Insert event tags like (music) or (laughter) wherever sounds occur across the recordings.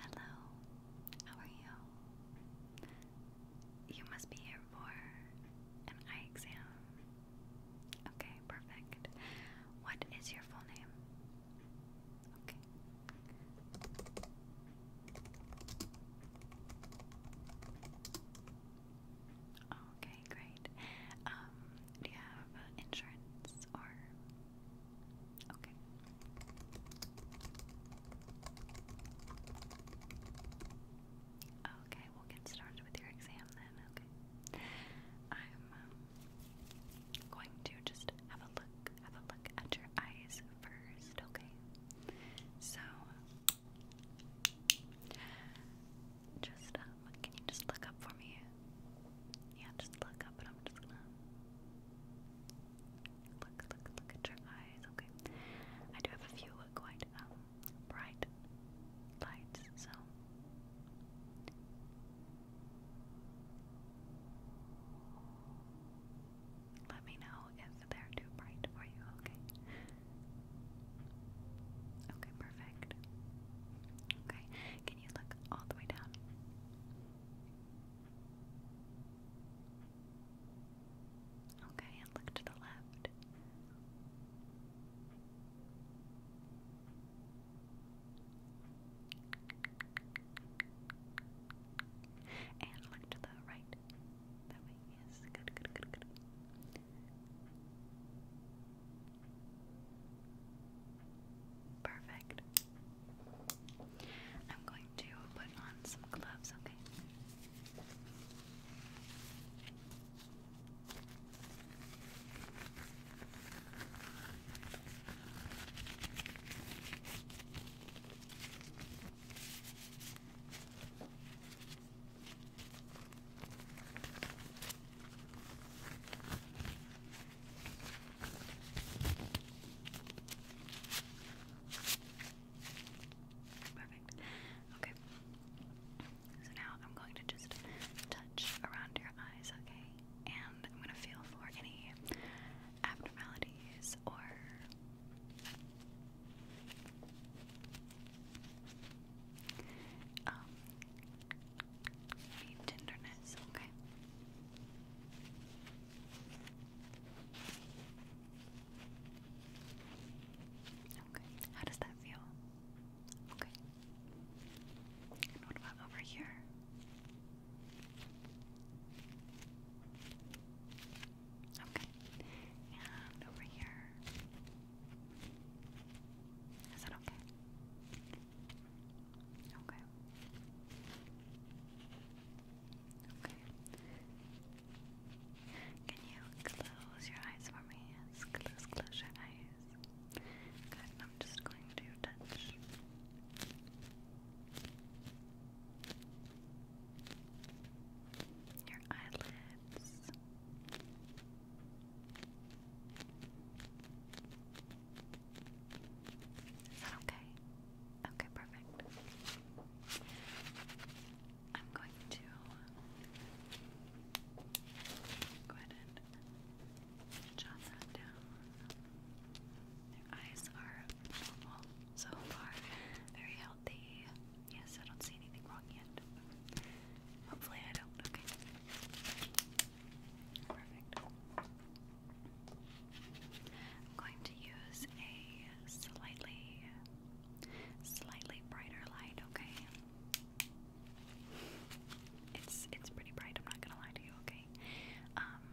Hello, how are you? You must be here for an eye exam. Okay, perfect. What is your full name? Okay. Okay, great. Um, do you have insurance or Okay. Okay, we'll get started with your exam then. Okay. I'm um, going to just have a look, have a look at your eyes first, okay? So just uh, can you just look up for me? Yeah, just look up, I'm just gonna look, look, look at your eyes. Okay, I do have a few quite um, bright lights, so. Let me know if they're too bright for you, okay? Okay, perfect. Okay, can can you look all the way down? Okay, and look to the left. And look to the right. That way, yes. Good, good, good, good. Perfect. I'm going to put on some gloves, okay? Perfect. Okay. So now I'm going to just touch around your eyes, okay? And I'm going to feel for any abnormalities or. Um, Need tenderness, okay. Okay, how does that feel? Okay. what about over here? Okay. And over here. Is that okay? Okay. Okay. Can you close your eyes for me? Yes, close, your eyes. I'm just going to touch. Your eyelids, is that okay? Okay, perfect. I'm going to go ahead and jot that down. Their eyes are normal so far, very healthy. Yes, I don't see anything wrong yet. Hopefully, I don't. Okay. Perfect. I'm going to use a slightly, slightly brighter light. Okay. It's it's pretty bright. I'm not gonna lie to you. Okay. Um,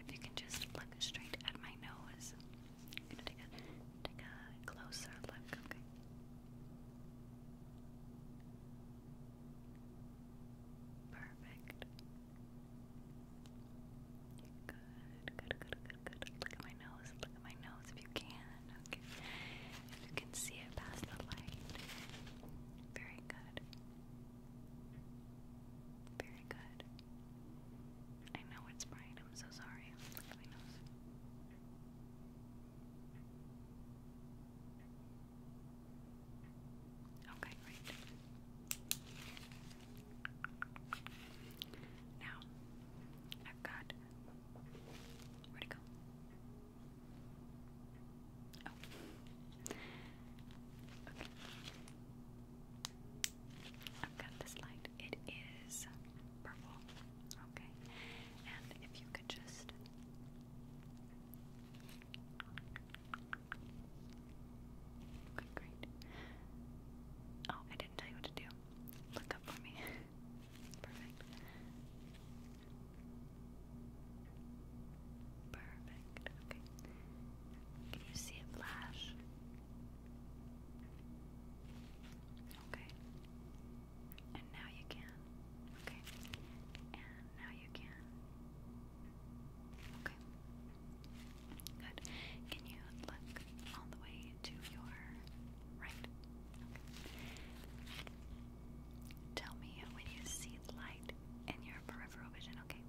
if you can just look straight at my nose. I'm gonna take a take a closer look. Okay. Perfect. Good, good, good, good, good. Look at my nose. Look at my nose if you can. Okay. If you can see it past the light. Very good. Very good. I know it's bright. I'm so sorry. Look at my nose. Okay, great. Now, I've got. Where'd go? Oh. Okay. I've got this light. It is purple. Okay. And if you could just great. Oh, I didn't tell you what to do. Look up for me. (laughs) Perfect. Perfect. Okay. Can you see it flash? Okay. And now you can. Okay. And now you can. Okay. Good. Can you look all the way to your right? Okay. Tell me when you see light in your peripheral vision, okay?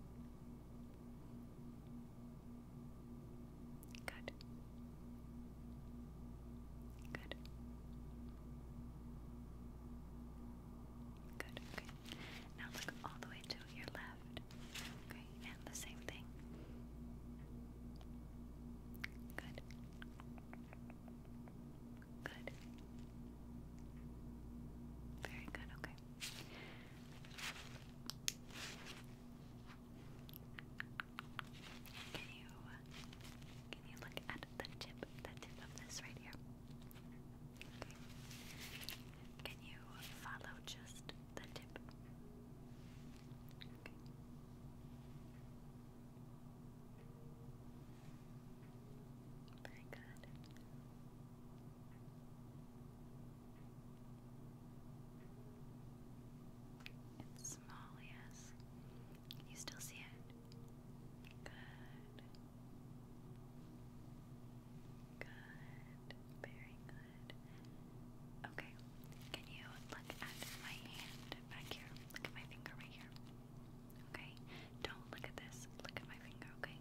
Good. Good. Good, okay. Now look all the way to your left. Okay, and the same thing. Good. Good. Very good, okay. Can you uh, can you look at the tip, the tip of this right here? Can you follow just the tip? Very good. It's small, yes. Can you still see it? Good. Good. Very good. Okay. Can you look at my hand back here? Look at my finger right here. Okay. Don't look at this. Look at my finger, okay?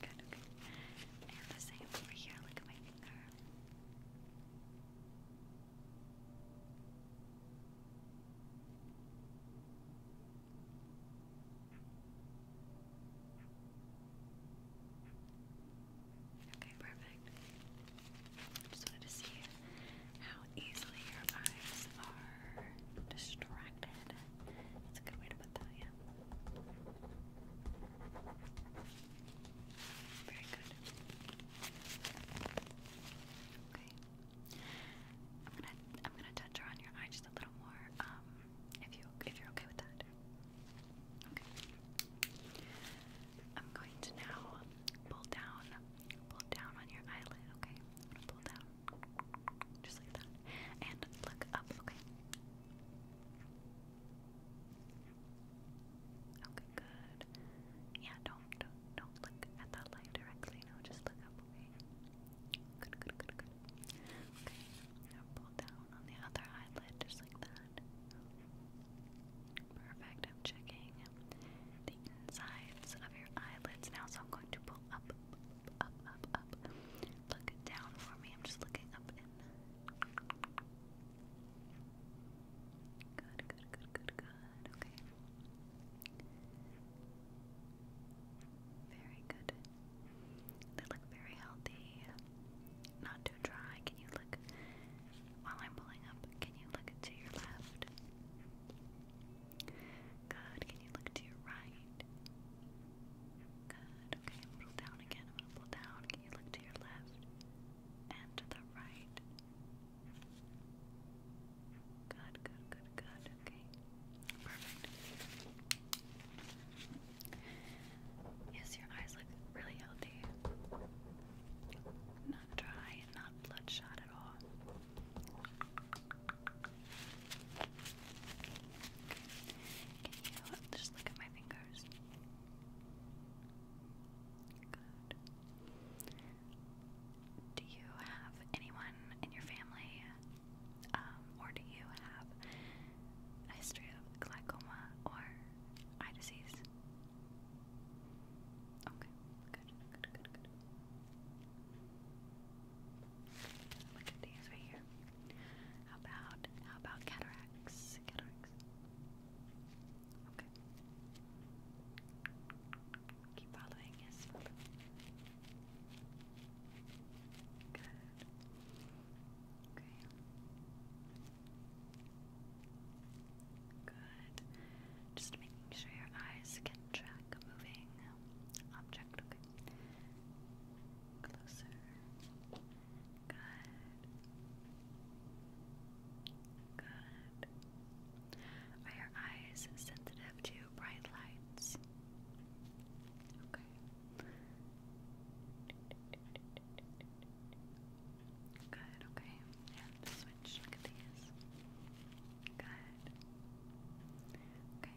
okay. same over here, look at my finger. Okay, perfect. I just wanted to see how easily your eyes are distracted that's a good way to put that, yeah. Very good. Okay. I'm gonna I'm gonna touch around your eye just a little more, um, if you if you're okay with that. Okay. I'm going to now pull down, pull down on your eyelid, okay? pull down. Just like that. And look up, okay? Okay, good. Yeah, don't don't don't look at that light directly. No, just look up. Good, good, good, good. Okay. Now pull down on the other eyelid, just like that. Perfect. I'm checking the insides of your eyelids now, so I'm going to pull up, up, up, up, Look down for me. I'm just looking up Good, good, good, good, good. Okay. Very good. They look very healthy. Not too dry. Can you look while I'm pulling up? Can you look to your left? Good. Can you look to your right? Good. Okay, pull down again. pull down. Can you look to your left and to the right? Good, good, good, good. Okay. Perfect. Yes, your eyes look really healthy. Not dry, not bloodshot at all. Can you just look at my fingers? Do you have anyone in your family, um, or do you have a history of glaucoma or eye disease? Okay, good, good, good, good. Look at these right here. How about how about cataracts? Cataracts. Okay. Keep following, yes. Good. Okay. Good. Just making sure your eyes can track a moving object, okay? Closer. Good. Good. Are your eyes sensitive to bright lights? Okay. Good, okay. And switch. Look at these. Good. Okay.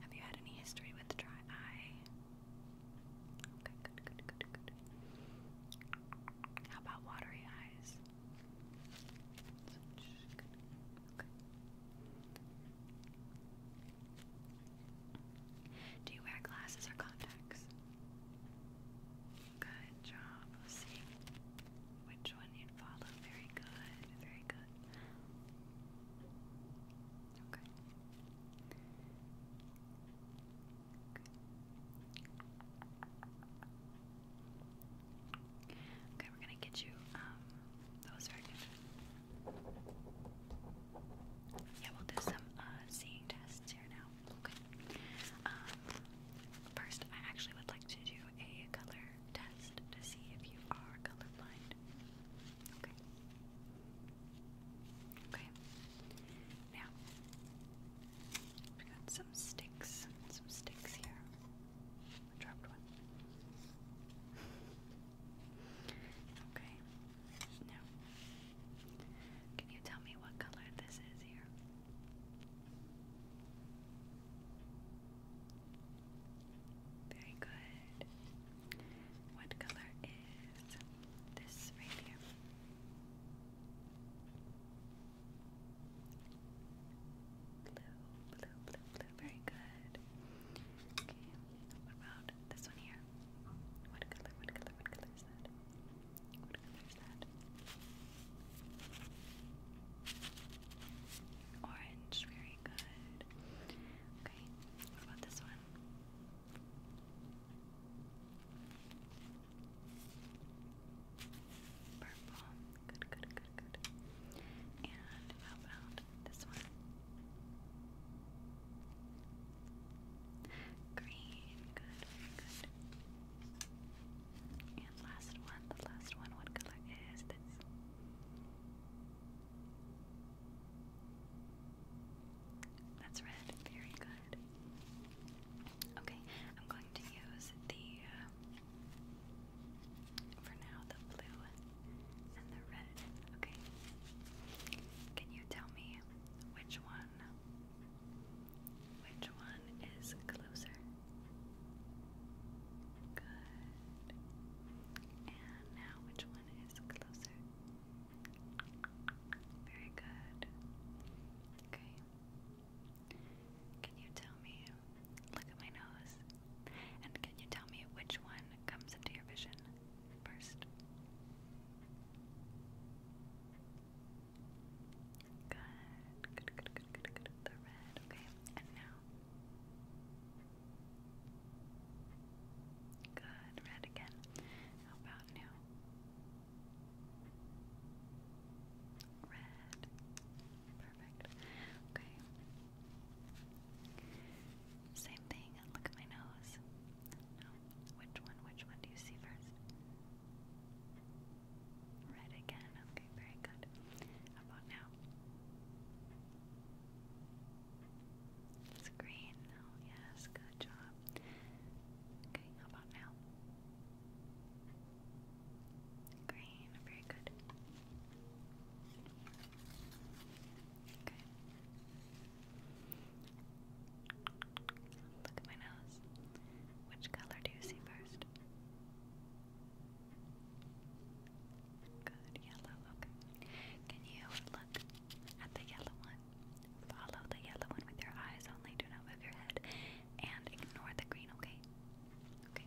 Have you had any history with dry eye? Okay, good, good, good, good. How about watery eyes? Do you wear glasses or contacts? Good job. Let's see which one you'd follow. Very good. Very good. Okay. Okay, okay we're gonna get you, um, that was very good. Yeah, we'll do some, uh, seeing tests here now. Okay. Um, first, I actually would like to do a color test to see if you are colorblind. Okay. Okay. Now, we got some sticks. Some sticks here. dropped one. okay. Now, can you tell me what color this is here? Very good. What color is this right blue, blue, blue. Very good. Okay. What about this one here? What color? What color? What color is that? What color Orange, very good. Okay, about this one? Purple, good, good, good, good. And how about this one? Green, good, good. And last one, the last one, what color is this? That's red, very good. Okay, I'm going to use the, uh, for now, the blue and the red. Okay. Can you tell me which one which one is closer? Good. And now, which one is closer? Very good. Okay. Can you tell me? Look at my nose. And can you tell me which one comes into your vision first? Good, good, good, good, good, good. The red, okay. And now. Good, red again. How about now? Red. Perfect. Okay. Same thing. Look at my nose. No. Which one? Which one do you see first? Red again. Okay, very good. about now? It's green now. Oh, yes, good job. Okay, about now? Green, very good. Okay. Look at my nose. Which color do you see first? Good, yellow, okay. Can you look at the yellow one? Follow the yellow one with your eyes only, do not move your head, and ignore the green, Okay. Okay,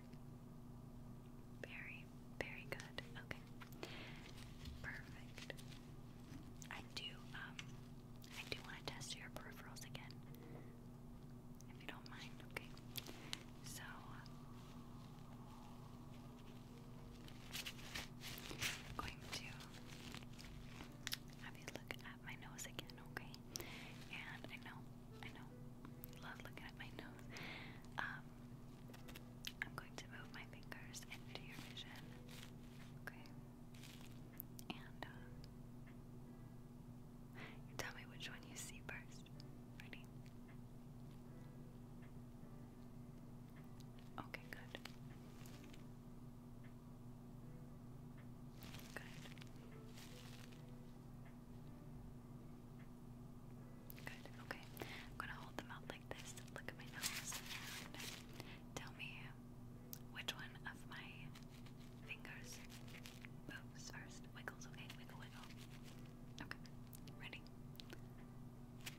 Very, very good. Okay. Perfect. I do, um, I do want to test your peripherals again. If you don't mind, okay. So, I'm going to have you look at my nose again, okay? And I know I know, love looking at my nose. Um, I'm going to move my fingers into your vision. Okay. And uh, you tell me which one you see first. Ready? Okay, good. Good. Good, okay. I'm gonna hold them out like this, look at my nose, tell me which one of my fingers moves first. Wiggles, okay? Wiggle, wiggle. Okay, ready? Good.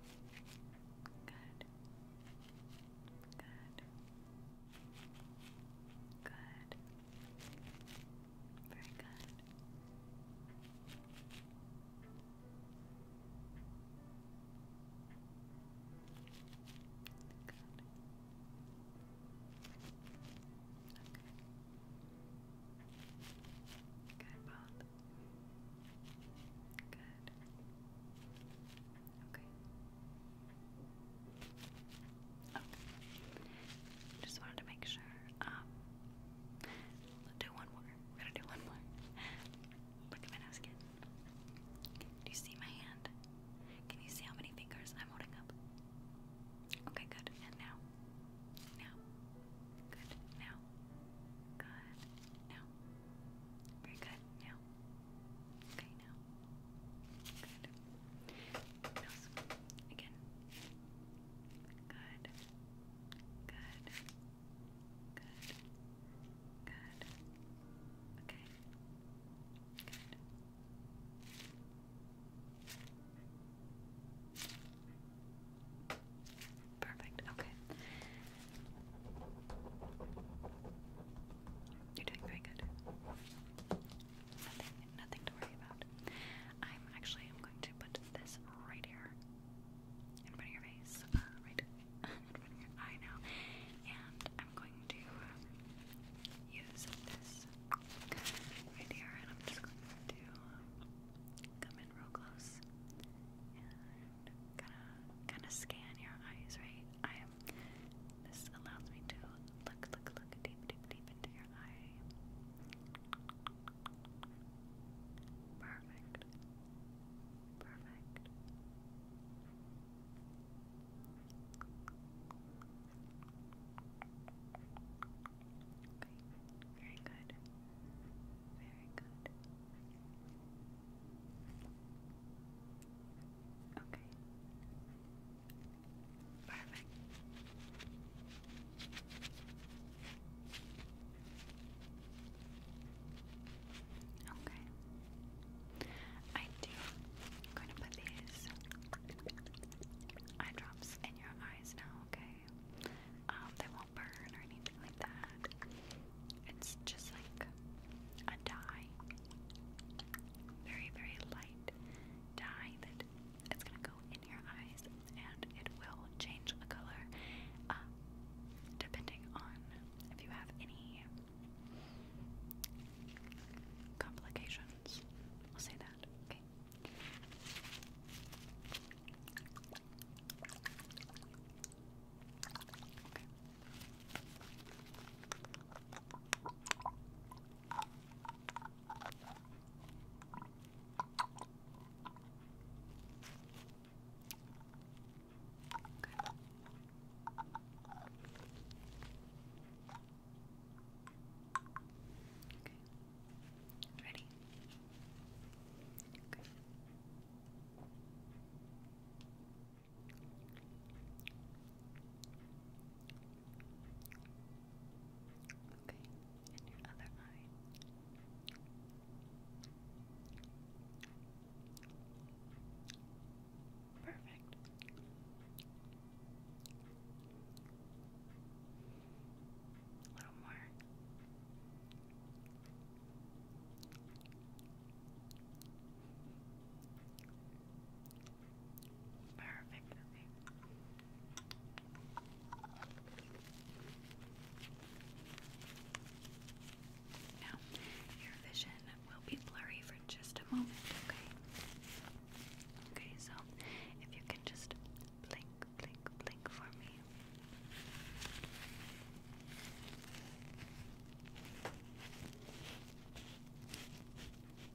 Good. Good. Very good. Good. Okay. Good, both. Good. Okay. Just wanted to make sure. Um, do one more. We're gonna do one more. Look at my nose Do you see my hand? Can you see how many fingers I'm holding up? Okay, good. And now. Now. Good. Now. Good. Now. Very good. Now. Okay, now. Good. Nose. Again. Good. Good. Good. Good. Okay. Good. Perfect. Okay. You're doing very good nothing, nothing to worry about. I'm actually I'm going to put this right here in front of your face, uh, right (laughs) in your eye now, and I'm going to use this right here, and I'm just going to come in real close and kind of kind of scan your eyes, right? I am. This allows me to look, look, look deep, deep, deep into your your eye. Perfect. Perfect. very good. Very good. Okay. Perfect. Okay. I am going to put these eye drops in your eyes now, okay? Um, they won't burn or anything like that. It's just like a dye. Very, very light dye that it's gonna go in your eyes and it will change the color um, depending on if you have any complications. We'll say that, Okay. Okay. Ready? Okay. Okay. Okay, and your other eye. Perfect. A little more. Perfect. Now, your vision will be blurry for just a moment, okay? Okay, so if you can just blink, blink, blink for me.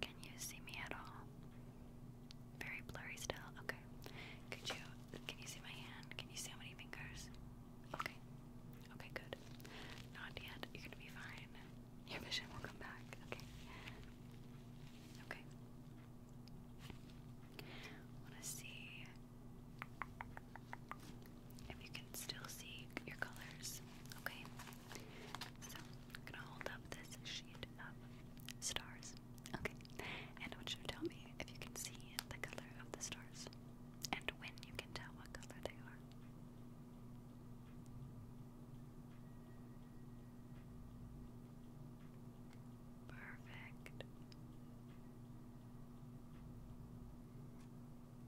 Can you see me at all? Very blurry still. Okay. Could you can you see my hand? Can you see how many fingers? Okay. Okay, good. Not yet. You're gonna be fine. Your vision will come back. Okay. Okay. wanna see if you can still see your colors. Okay? So, I'm gonna hold up this sheet of stars. Okay? And I you to tell me if you can see the color of the stars and when you can tell what color they are. Perfect.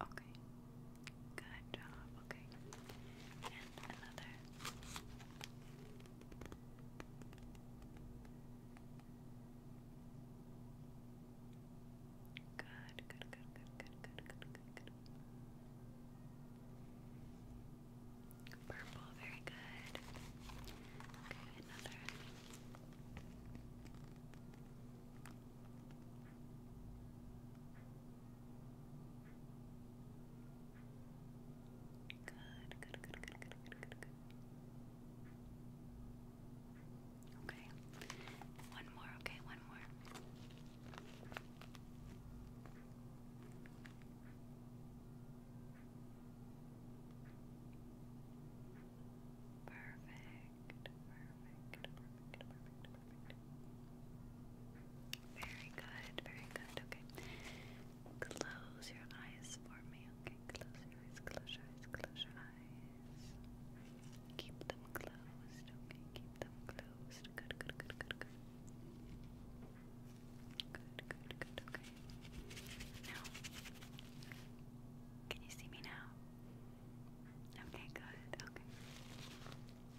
Okay. Good job. Okay. And another. Good, good, good, good, good, good, good, good, Purple, very good. Okay, another. Good, good, good, good, good, good, good, good. Okay. One more, okay, one more. Perfect, perfect, perfect, perfect. Very good, very good. Okay. Close your eyes for me. Okay, close your eyes, close your eyes, close your eyes. Keep them closed. Okay, keep them closed. Good, good, good, good, good. Good, good, good, okay. Now, can you see me now? Okay, good. Okay.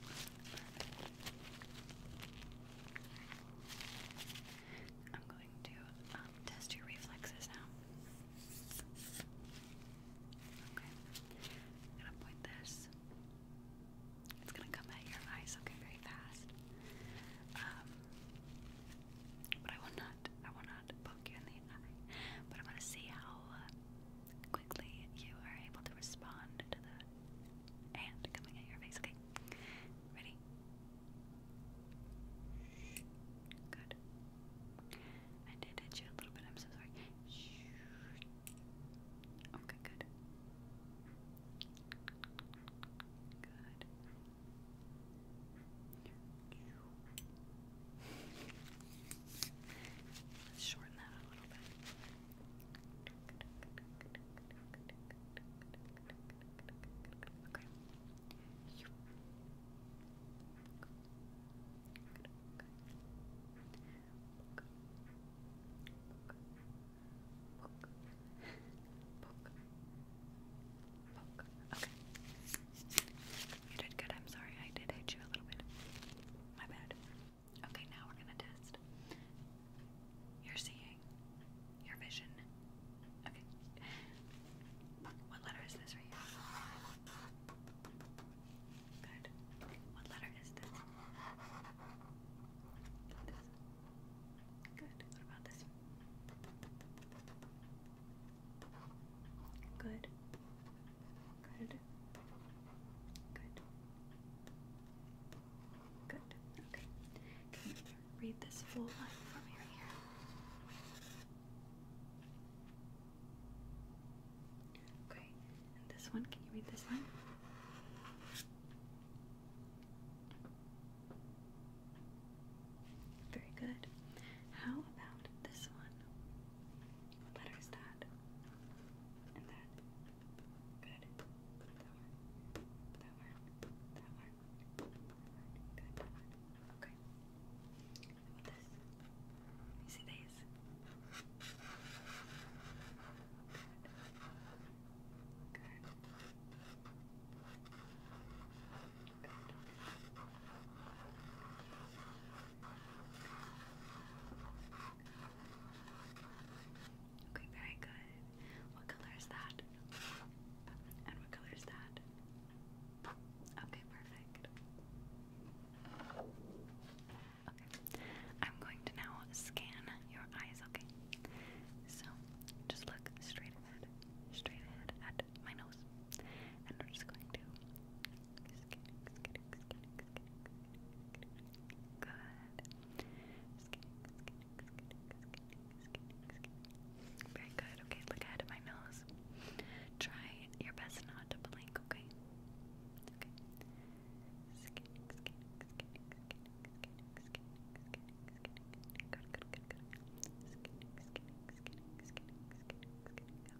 Perfect. I'm going to um, test your reflexes now. Okay. I'm going to point this. It's going to come at your eyes, okay, very fast. Um, but I will not, I will not poke you in the eye. But I'm going to see how uh, quickly you are able to respond to the hand coming at your face. Okay, ready? Good. I did hit you a little bit. I'm so sorry. Okay, good. Good. Let's shorten that a little bit. Okay. Okay. You did good. I'm sorry. I did hit you a little bit. My bad. Okay, now we're gonna test your seeing, your vision. Okay. What letter is this right Good. What letter is this? This. Good. What about this? Good. Good. Good. Good. Okay. Can you read this full line for me right here? Okay. this one, can you read this line? Very good. How about this one? What that? And that. Good. That one. That one. That one. Good. Okay. What this? You see these? Good. Good. Okay, very good. What color is that? And what color is that? Okay, perfect. Okay, I'm going to now scan your eyes, okay? So, just look straight ahead, straight ahead at my nose. And we're just going to. Very good. Okay, look ahead at my nose. Try your best not to blink, okay?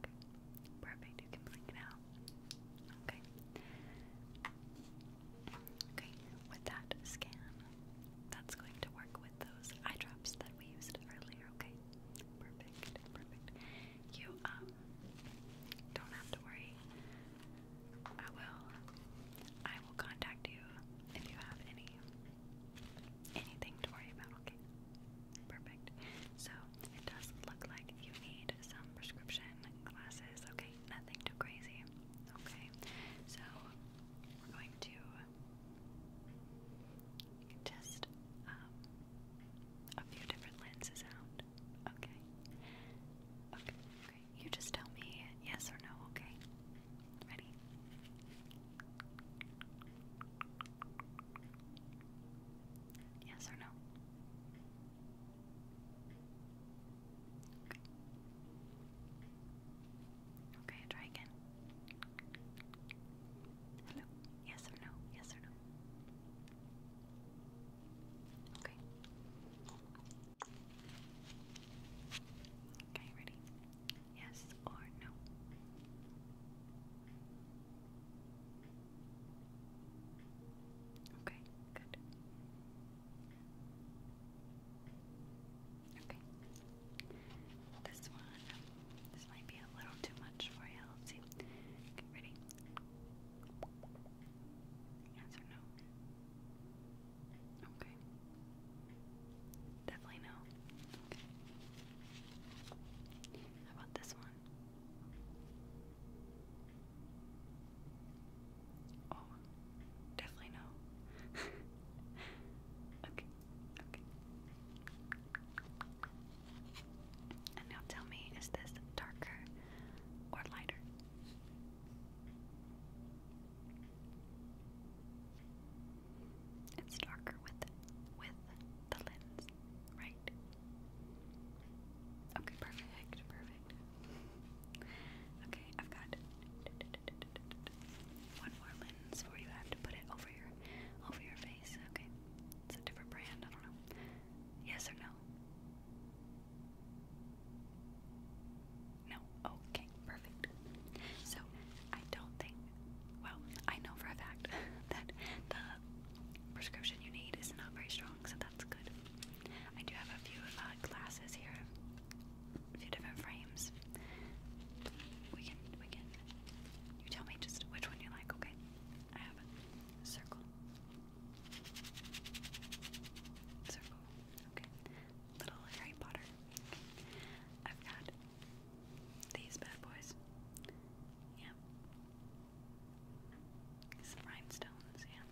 Okay. Perfect. You can blink it Okay. Okay. With that scan, that's going to work with those eye drops that we used earlier. Okay. Perfect. Perfect. You um don't have to worry. I will. I will contact you if you have any anything to worry about. Okay. Perfect. So it does look like you need some prescription glasses. Okay, nothing too crazy. Okay, so we're going to test um, a few different lenses out. Okay. Okay. Okay. You just tell me yes or no. Okay. Ready? Yes or no? Okay. Okay, try again. Hello? Yes or no? Yes or no? Okay. Okay, ready? Yes or no? Okay, good. Okay. This one, this might be a little too much for you. Let's see. Okay, ready? Yes or no? Okay. Definitely no. How about this one? Oh, definitely no. (laughs) okay, okay. And now tell me, is this darker or lighter? It's darker with with the lens, right? Okay, perfect, perfect. Okay, I've got one more lens for you. I have to put it over your over your face. Okay, it's a different brand. I don't know. Yes or no? No. Okay, perfect. So I don't think well, I know for a fact (laughs) that the prescription you need is not very strong, so that's good. I do have a few uh, glasses here, few different frames. We can, we can. You tell me just which one you like, okay? I have a circle. Circle. Okay. Little Harry Potter. Okay. I've got these bad boys. Yeah. Some rhinestones, yeah.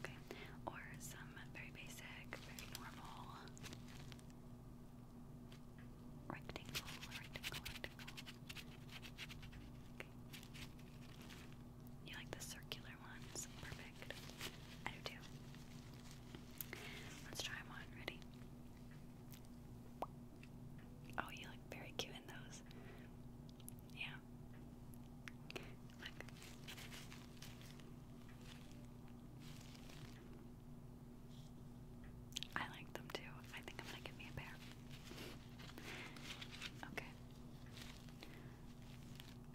Okay. Or some very basic, very normal rectangle, rectangle, rectangle. You like the circular ones? Perfect. I do too. Let's try them on. Ready? Oh, you look very cute in those. Yeah. Look. I like them too. I think I'm gonna give me a pair. okay.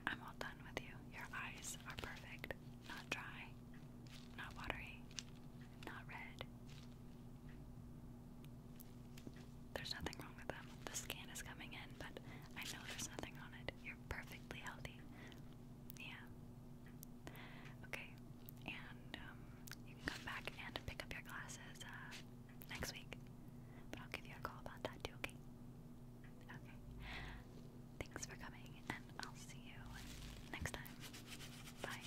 I'm all done with you. Your eyes are perfect. Not dry, not watery, not red. There's nothing wrong with them. The scan is coming in, but I know there's nothing on it. You're perfectly healthy. Yeah. Okay, and um, you can come back and pick up your glasses uh, next week. But I'll give you a call about that too, okay? Okay. Thanks for coming, and I'll see you next time. Bye.